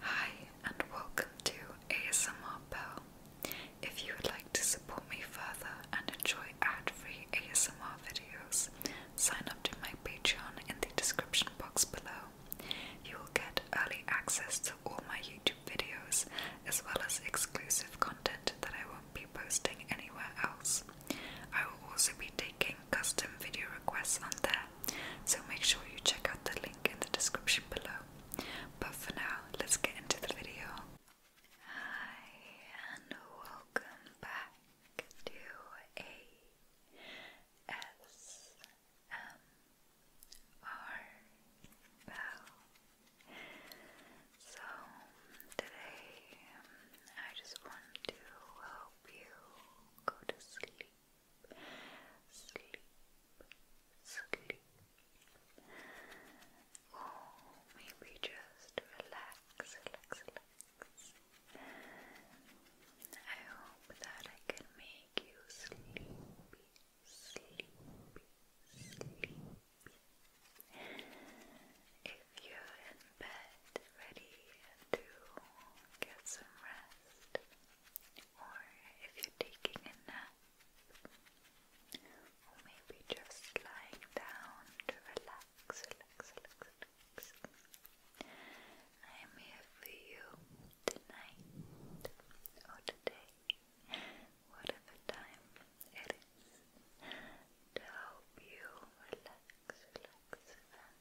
Hi, and welcome to ASMR Pearl. If you would like to support me further and enjoy ad free ASMR videos, sign up to my Patreon in the description box below. You will get early access to all my YouTube videos as well as exclusive content that I won't be posting anywhere else. I will also be taking custom video requests on there so make sure you check out the link in the description below. But for now, let's get into the video. and welcome back to a S M R So today, I just want to help you go to sleep sleep, sleep, or maybe just relax, relax, relax. I hope that I can make you sleepy, sleepy, sleepy. If you're in bed ready to get some rest, or if you're taking a nap, or maybe just lying down to relax, relax, relax, relax. I am here for you tonight or today, whatever time it is, to help you relax, relax,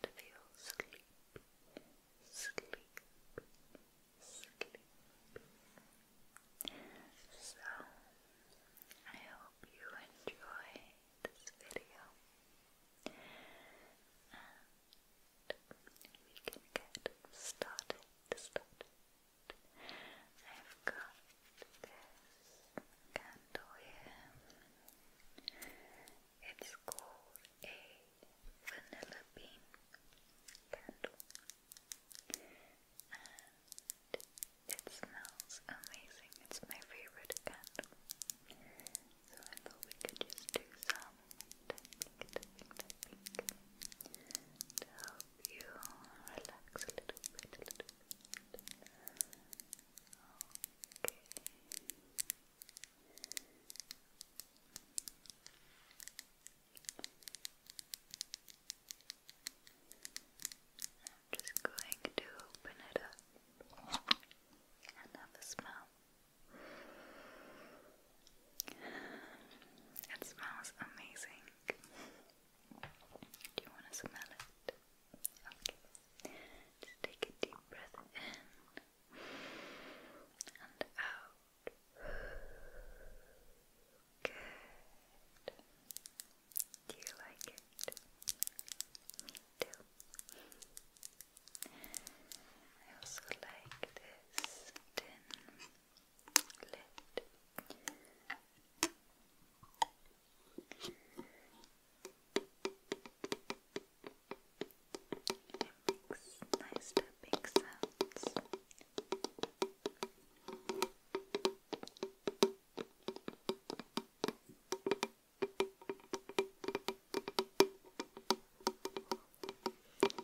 and feel sleepy sleep, sleep. So, I hope you enjoy this video and we can get started, started. I've got this candle here. It's called a vanilla bean candle, and it smells amazing. It's my favorite candle, so I thought we could just do some tapping, to help you relax a little bit. Okay. I'm just going to open it up and have a smell. It smells amazing. Do you want to smell it? Okay. Just take a deep breath in and out. Good. Do you like it? I also like this tin lid tappings, nice tapping sounds.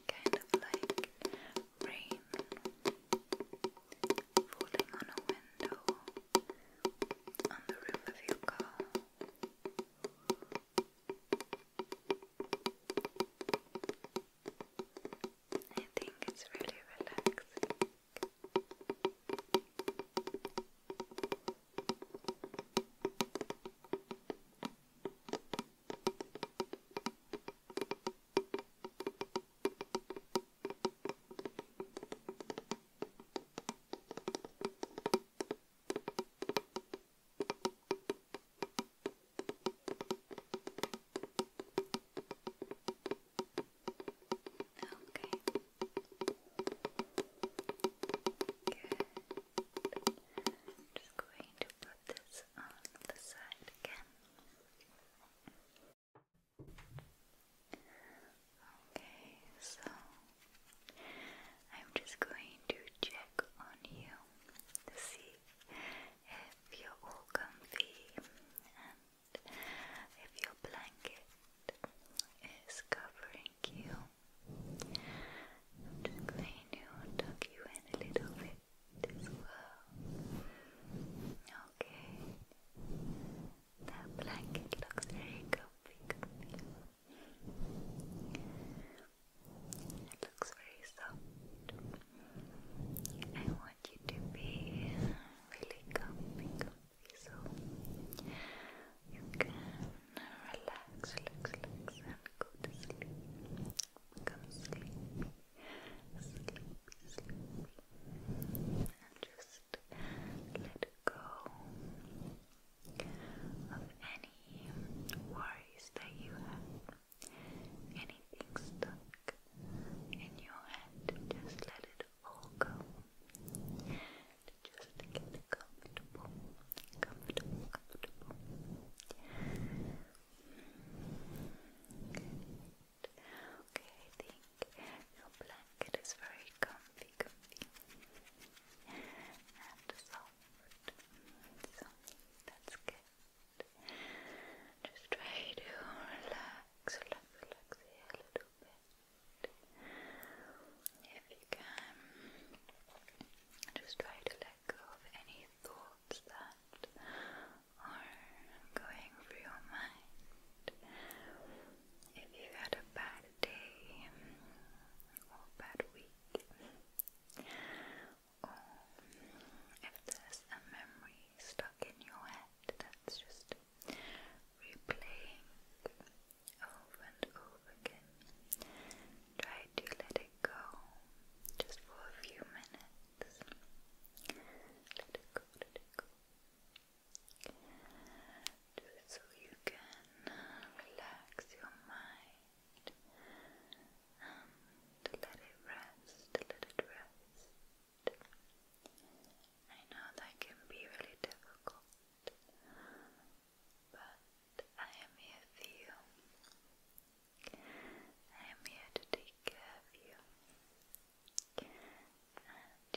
Kind of like rain falling on a window on the roof of your car. I think it's really relaxing. Okay. Good. I'm just going to put this on the side again. Okay, so I'm just going to check on you down see if you're all comfy and if your blanket is covering you. I'm just going to you in a little bit as well. Okay. That blanket looks very comfy. It looks very soft. I want you to be really comfy, so you can relax, relax, and go to sleep. Come sleep, sleep, sleep, and just let go of any worries that you have anything stuck in your head, just let it all go. Just get comfortable, comfortable, comfortable. Okay, I think your blanket is very comfy, comfy, and soft. So that's good. Just try to relax, relax, relax here a little bit. If you can, just try to let go of any thoughts that are going through your mind. If you had a bad day or bad week, or if there's a memory stuck in your head that's just replaying over and over again, try to let it go just for a few minutes. Let it go, let it go. Just so you can relax your mind and let it rest, let it rest. I know that can be really difficult, but I am here for you. I am here to take care of you, and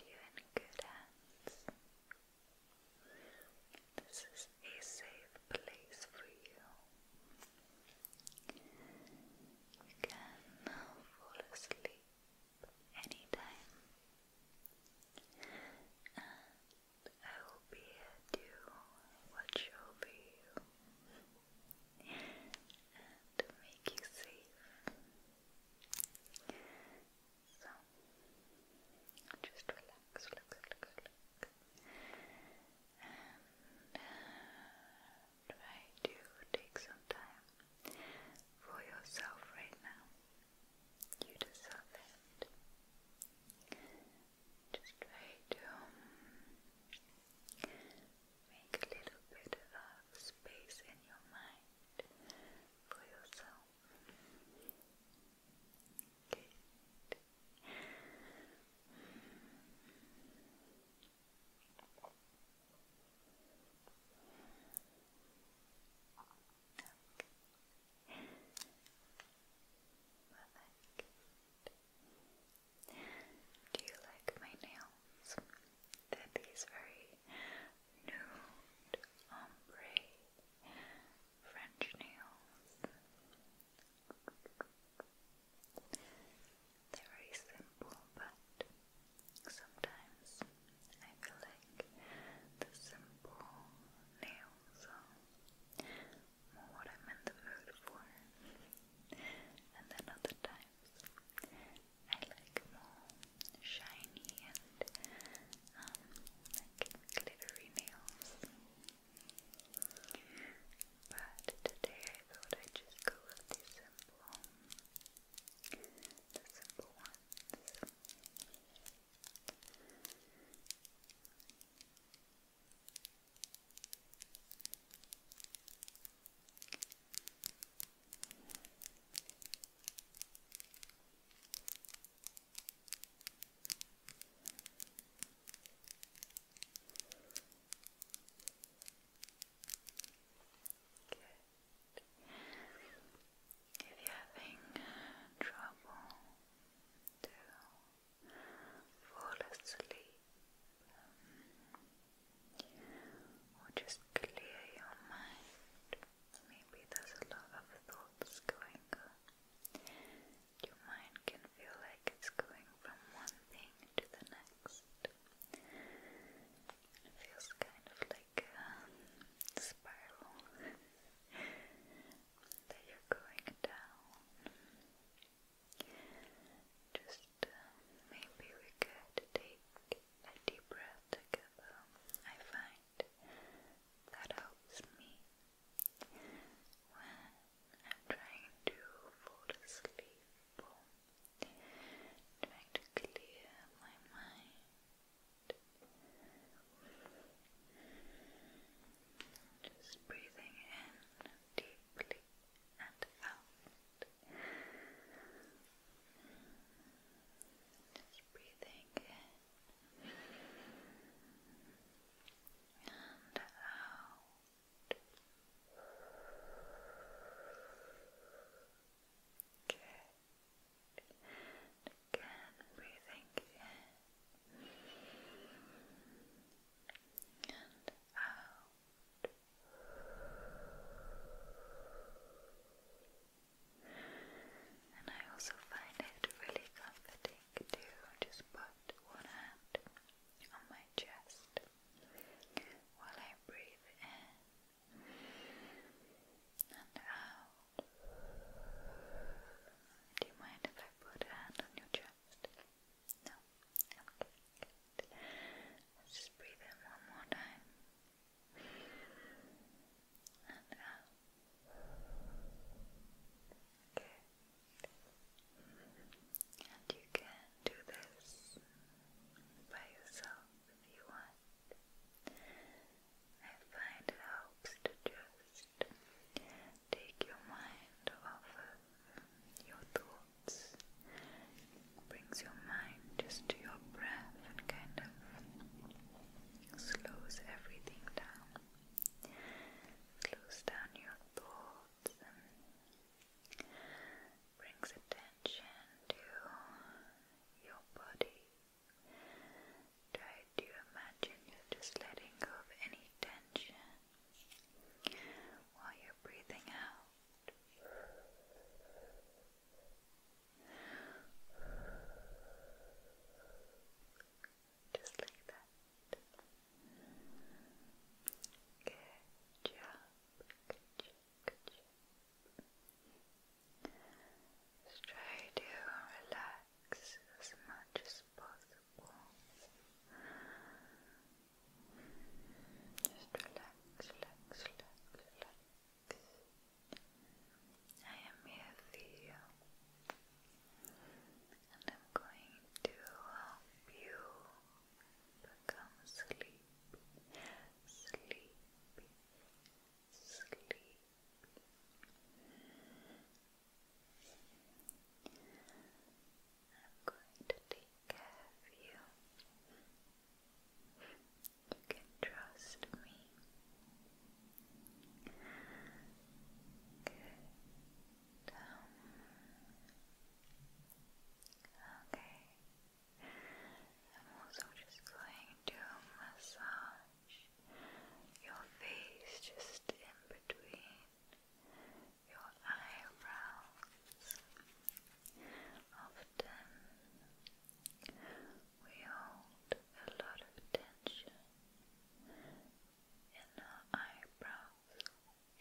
you're in good hands. This is a safe place for you. You can fall asleep anytime, and I will be here to watch over you and make you safe. So, just relax, relax, relax, relax and um, try to take some time for yourself right now. You deserve it. Just try to um, make a little bit of uh, space in your mind for yourself. Perfect. Do you like my nails? they these very nude ombre French nails. They're very simple, but sometimes I feel like the simple nails are more what I'm in the mood for, and then other times I like more shiny and um, like glittery nails. But today I thought I'd just go with the simple, the simple ones. Good. If you're having trouble to fall asleep or just clear your mind, maybe there's a lot of thoughts going on. Your mind can feel like it's going from one thing to the next. It feels kind of like a spiral that you're going down. Just uh, maybe we could take a deep breath together. I find that helps me I'm trying to fall asleep, trying to clear my mind. Just breathing in deeply and out. Just breathing in and out. Good. Again, breathing in and out. And I also find it really comforting to just put one hand on my chest while I breathe in and out. Do you mind if I put a hand on your chest? No? Okay, just breathe in one more time and out. Okay. And you can do this by yourself if you want. I find it helps to just take your mind off your thoughts. brings your mind just to your breath and kind of slows everything down. Slows down your thoughts and brings attention to your body. Try to imagine you're just letting go of any tension while you're breathing out. Just like that. Good job. Good job. Good job. Just relax as much as possible. relax, relax, relax, relax. I am here for you, and I'm going to help you become sleepy, sleepy, sleepy. I'm going to take care of you. You can trust me. Good. Um, Okay. I'm also just going to massage your face just in between your eyebrows. Often we hold a lot of tension in our eyebrows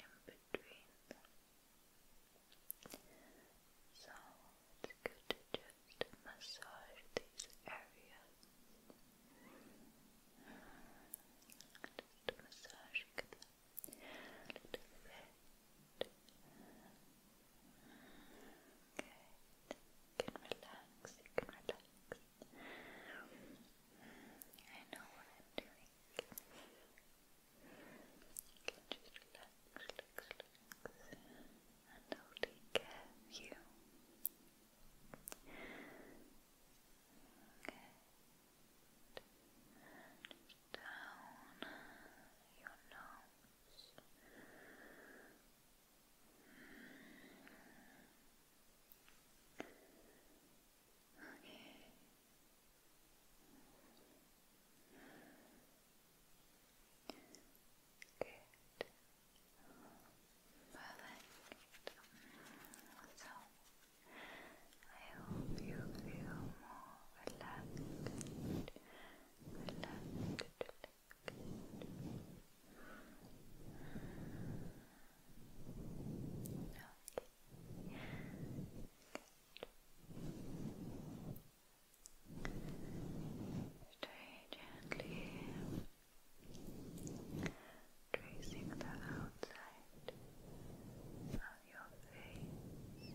in between them. So it's good to just massage these areas. Just massaging them a little bit. Okay, you can relax, can relax. I know what I'm doing. You can just relax, relax, relax, and I'll take care of you. Good. Just down your nose. Okay, Good. Perfect. So, I hope you feel more relaxed. Relaxed. relaxed. Okay. Stay gently tracing the outside of your face. And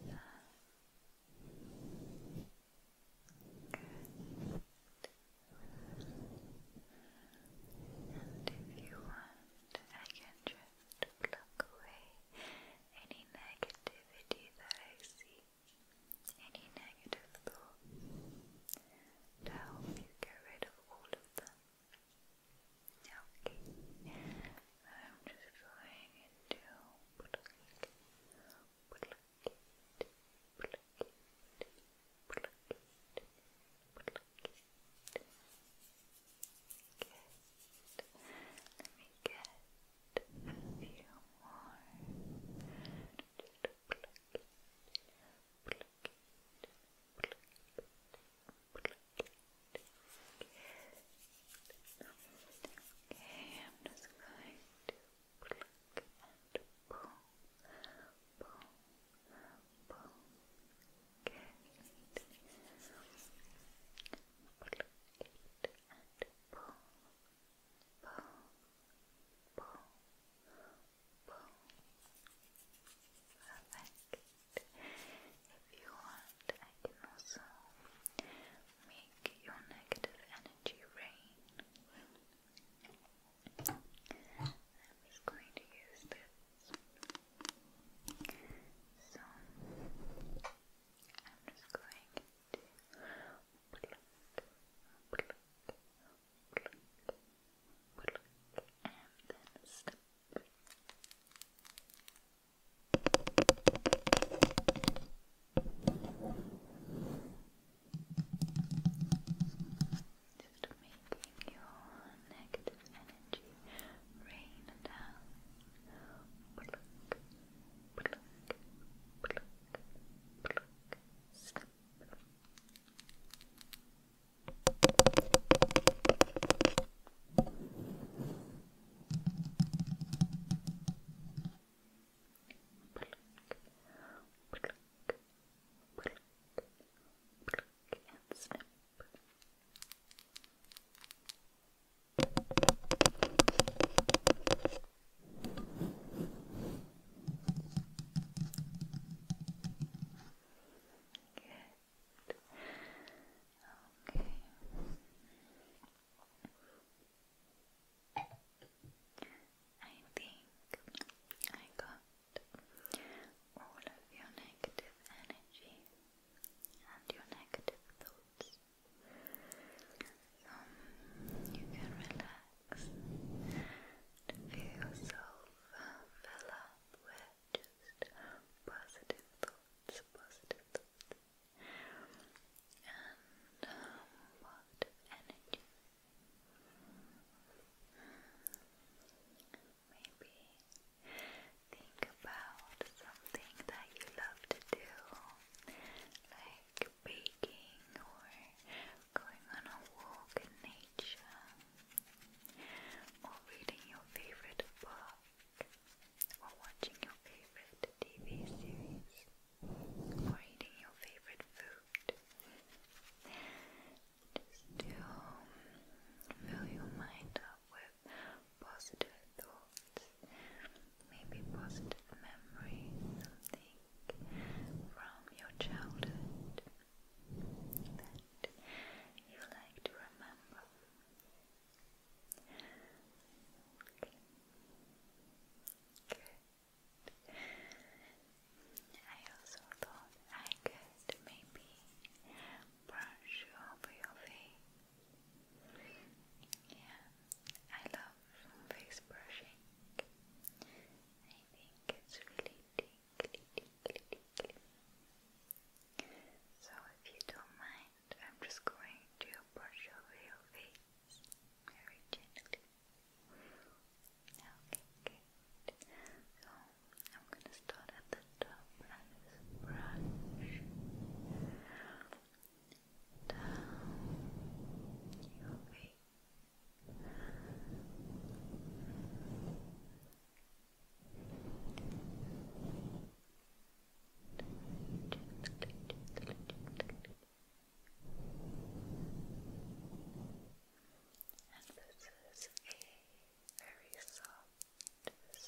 if you want, I can just to block away any negativity that I see, any negative thoughts, to you get rid of all of them. Okay, I'm just going into pluck, Good. Let me get a few more. Just pluck it, pluck it, pluck it, pluck it. Good. Okay, I'm just going to pluck and pull, pull, pull, Pluck Perfect. If you want, I can also make your negative energy rain. I'm just going to use this. So I'm just going to pluck, pluck, pluck, pluck, and then stop. Just making your negative energy energy rain down. Okay. I think I got all of your negative energy and your negative thoughts. Um, you can relax feel yourself um, fill up with just positive thoughts, positive thoughts, and um, energy. Hmm, maybe Think about something that you love to do, like baking or going on a walk in nature, or reading your favorite book, or watching your favorite TV series, or eating your favorite food. Just to fill your mind up with positive thoughts, maybe positive memories, something from your childhood that you like to remember. I also thought I could maybe brush over your face yeah, I love face brushing. I think it's really tingly, So if you don't mind, I'm just going to brush over your face very gently. Okay, So I'm gonna start at the the top brush down your face. And this is a very soft a I hope it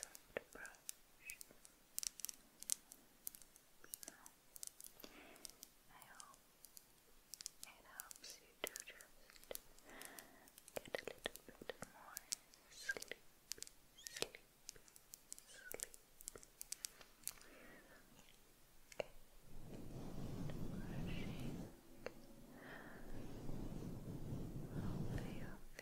helps you to just get a little bit more sleep, sleep, sleep. Okay. Brushing over your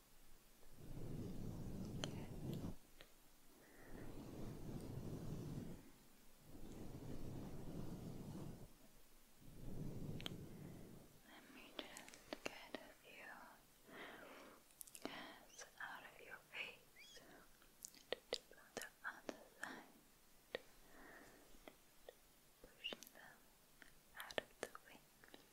Let me just get a few gas out of your face the other side, pushing them out of the wings.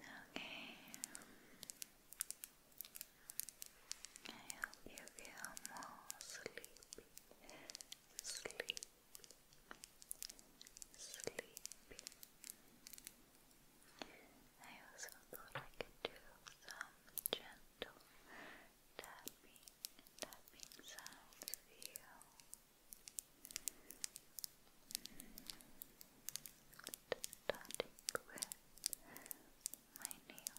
Okay. I hope you feel more sleepy. Sleepy. Sleepy. I also thought I could do some gentle tapping, tapping sounds for you starting with my nails.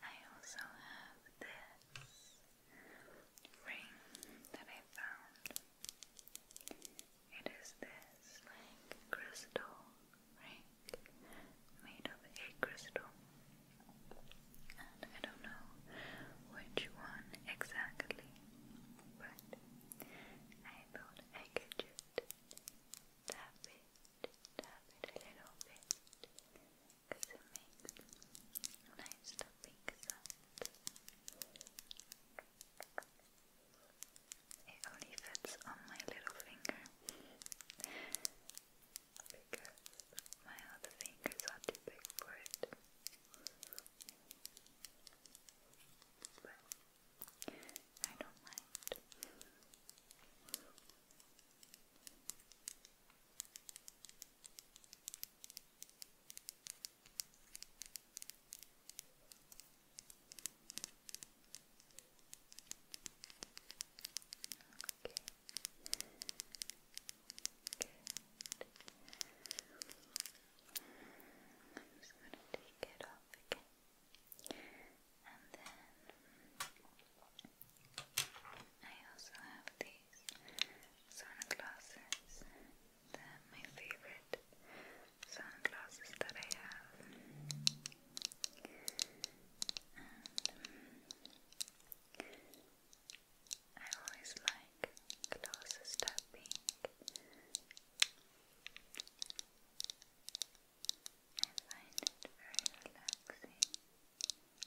I also have this ring that I found. It is this like crystal ring made of a crystal and I don't know which one exactly, but I thought I could just tap it, tap it a little bit, it makes nice tapping sounds. It only fits on my little finger because my other fingers are too big for it. But I don't mind. Okay. I'm just going to take it off again. And then I also have these sunglasses. They're my favorite sunglasses that I have. I always like close tapping. I find it very relaxing. I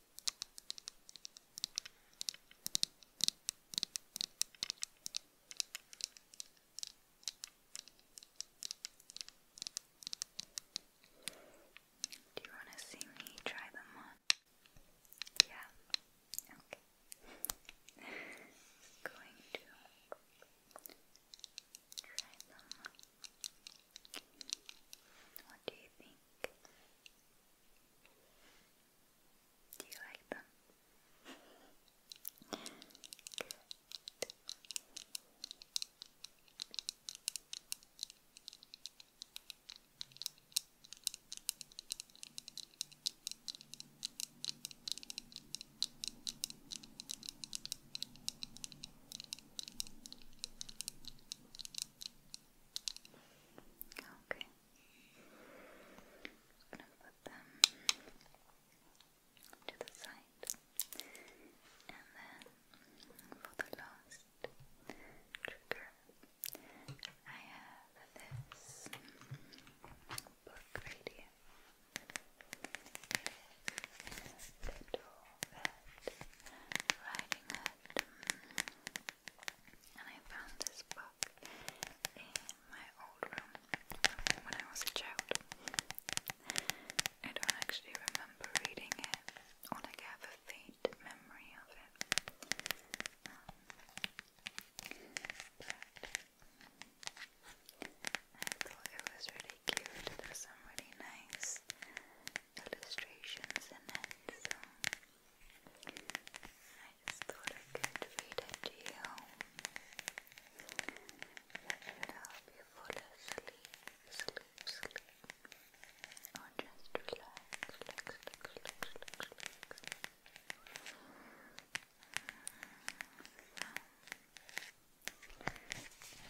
Do you want to see me try them on? Yeah. Okay. Going to try them on. What do you think? Do you like them? Okay. Just gonna put them to the side. And then for the last trigger, I have this book right here. Little Red Riding Hood and I found this book in my old room when I was a child. I don't actually remember reading it, or have a faint memory of it. Um, but I thought it was really cute. There's some really nice illustrations in it, I just thought I could read it to you. help you fall asleep, sleep, sleep, or just relax, relax, relax, relax, relax, I'm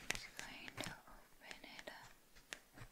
just going to open it up.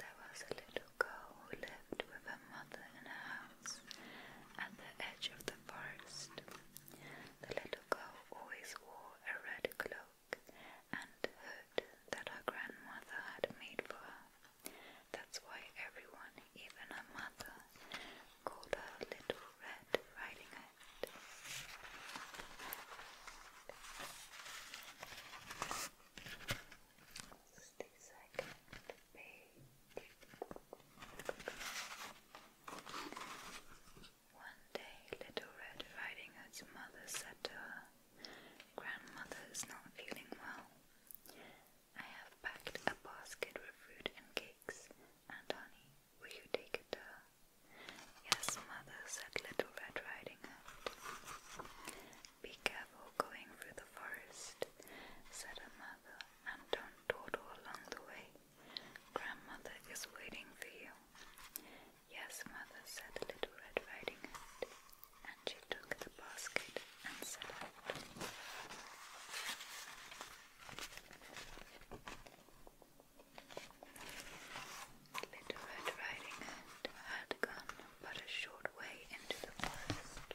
there was a little girl who lived with her mother in a house at the edge of the forest. The little girl always wore a red cloak and hood that her grandmother had made for her. That's why everyone, even her mother, called her Little Red Riding Hood. One day, Little Red Riding Hood's mother said to her, Grandmother is not feeling well. I have packed a basket with fruit and cakes and honey. Will you take it to her? Yes, Mother, said Little Red Riding Hood. Be careful going through the forest, said her mother, and don't dawdle along the way. Grandmother is waiting for you. Yes, mother, said Little Red Riding Hood, and she took the basket and set out. Little Red Riding Hood had gone but a short way into the forest,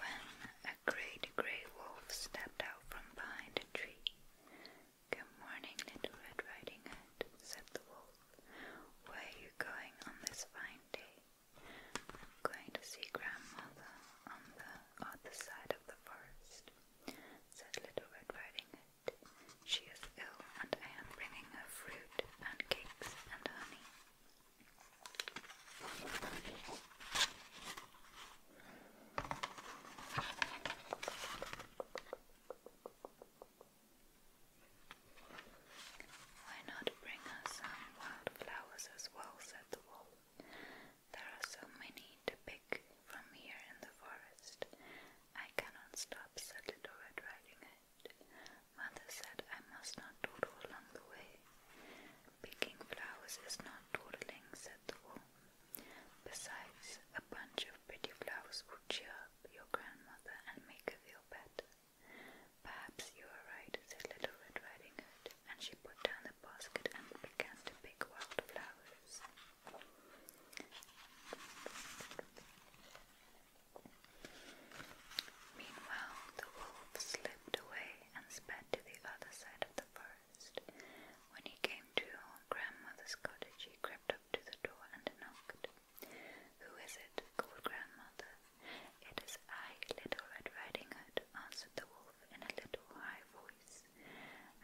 when a great grey wolf stepped out from behind a tree. Good morning, Little Red Riding Hood, said the wolf. Where are you going on this fine day? going to see grandmother on the other side of the forest, said Little Red Riding Hood. She is ill, and I am bringing her fruit and and honey. Why not bring her some wildflowers as well? said the wolf. There are so many to pick from here in the forest. I cannot stop, said Little Red Riding Mother said I must not dawdle along the way. Picking flowers is not dawdling, said the wolf. Besides, a bunch of pretty flowers would cheer up your grandmother and make her feel better. Perhaps you are right, said Little Red Riding Hood, and she put down the basket and began to pick wild flowers. Meanwhile, the wolf slipped away and sped to the other side of the forest. When he came to grandmother's cottage, he crept up to the door and knocked. Who is it? called grandmother. It is I, Little Red Riding Hood, answered the wolf in a little high voice.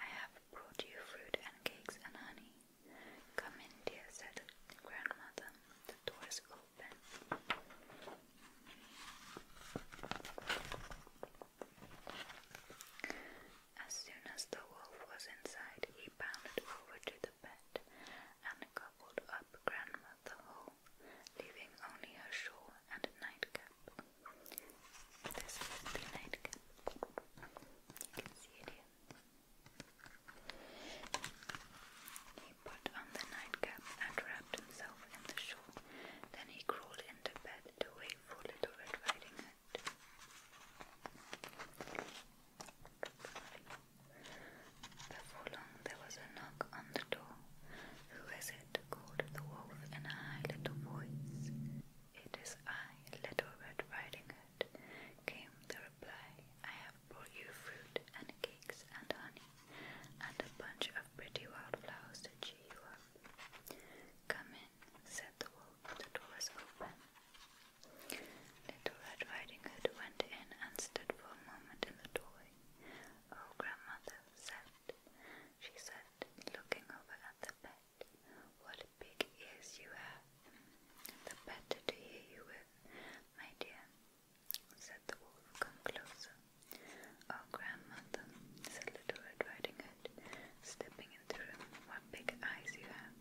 I have brought you fruit and cakes and honey. Come in, dear, said grandmother. The door is open. As soon as the wolf was inside, he bounded over to the bed and gobbled up Grandmother whole, leaving only a shawl and a nightcap. This is the nightcap. You can see it here. He put on the nightcap and wrapped himself in the shawl. Then he crawled into bed to wait for Little Red Riding Hood. Before long, there was a knock on the door. Who is it? called the wolf in a high little voice. It is I, Little Red Riding Hood, came the reply brought you fruit and cakes and honey, and a bunch of pretty wild flowers to cheer you up. Come in, said the wolf. The door was open. Little Red Riding Hood went in and stood for a moment in the doorway. Oh, grandmother, she said, looking over at the bed. What big ears you have! The better to hear you with, my dear said the wolf. Come closer. Oh, grandmother, said Little Red Riding Hood, stepping into the room. What big eyes you have!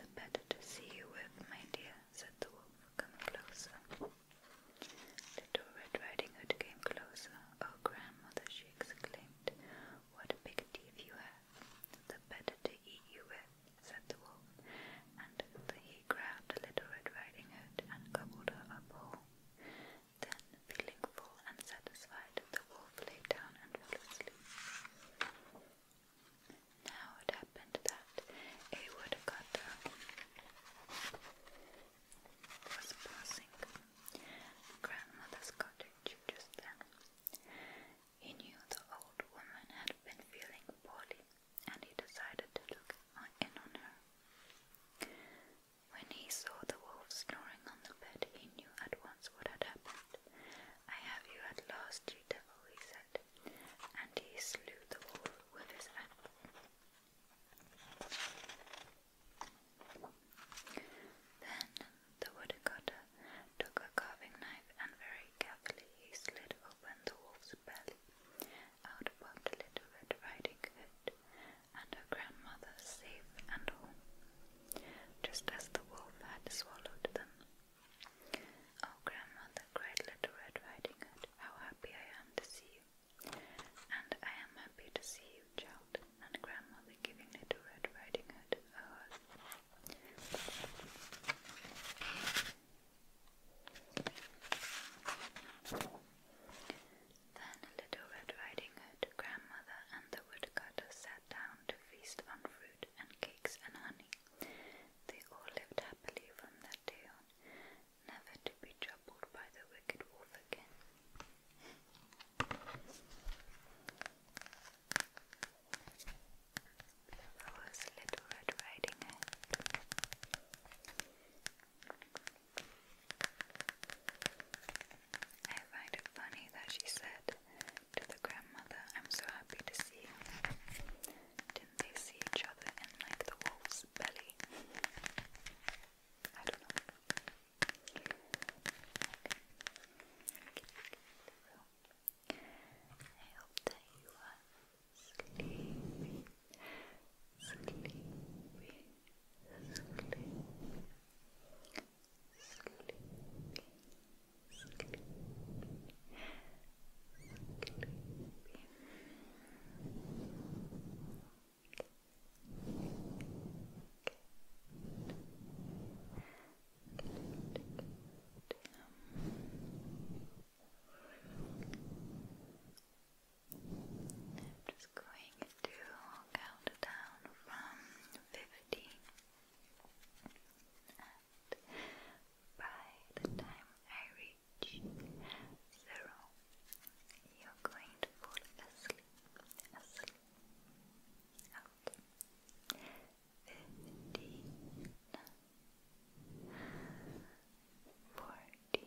The better to see you with, my dear, said the wolf. Come closer. Little Red Riding Hood came closer. Oh, grandmother, she exclaimed, what big teeth you have! The better to eat you with, said the wolf he grabbed the little Red Riding Hood and gobbled her up whole. Then, feeling full and satisfied, the wolf lay down and fell asleep. Now it happened that a woodcutter was passing grandmother's cottage just then. He knew the old woman had been feeling poorly, and he decided to look in on her. When he saw the wolf snoring on the bed, he knew at once what had happened. I have you at last, you devil, he said, and he slew the wolf with his axe. Then the woodcutter took a carving knife and very carefully he slit open the wolf's belly out popped Little Red Riding Hood and her grandmother safe and all, just as the wolf had swallowed them. Oh, grandmother, cried Little Red Riding Hood, how happy I am to see you! And I am happy to see you, child, and grandmother giving Little Red Riding Hood a hug. Then Little Red Riding Hood, Grandmother, and the woodcutter sat down to feast on fruit and cakes and honey. They all lived happily from that day on, never to be troubled by the wicked wolf again. was Little Red Riding Hood. I find it funny that she said to the grandmother, I'm so happy to see you. Didn't they see each other in like the wolf's belly? I don't know. I hope that you are sleepy, sleepy, sleepy, sleepy, sleepy. sleepy. Good i just going to count down from 50 by the time I reach zero you're going to fall asleep, asleep, okay 15 14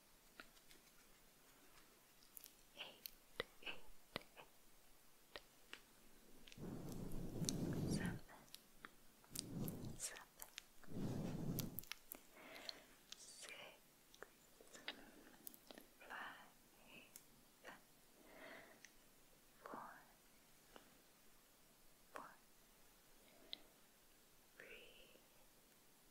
eight, eight, eight, seven, seven, six, five, four, four, three,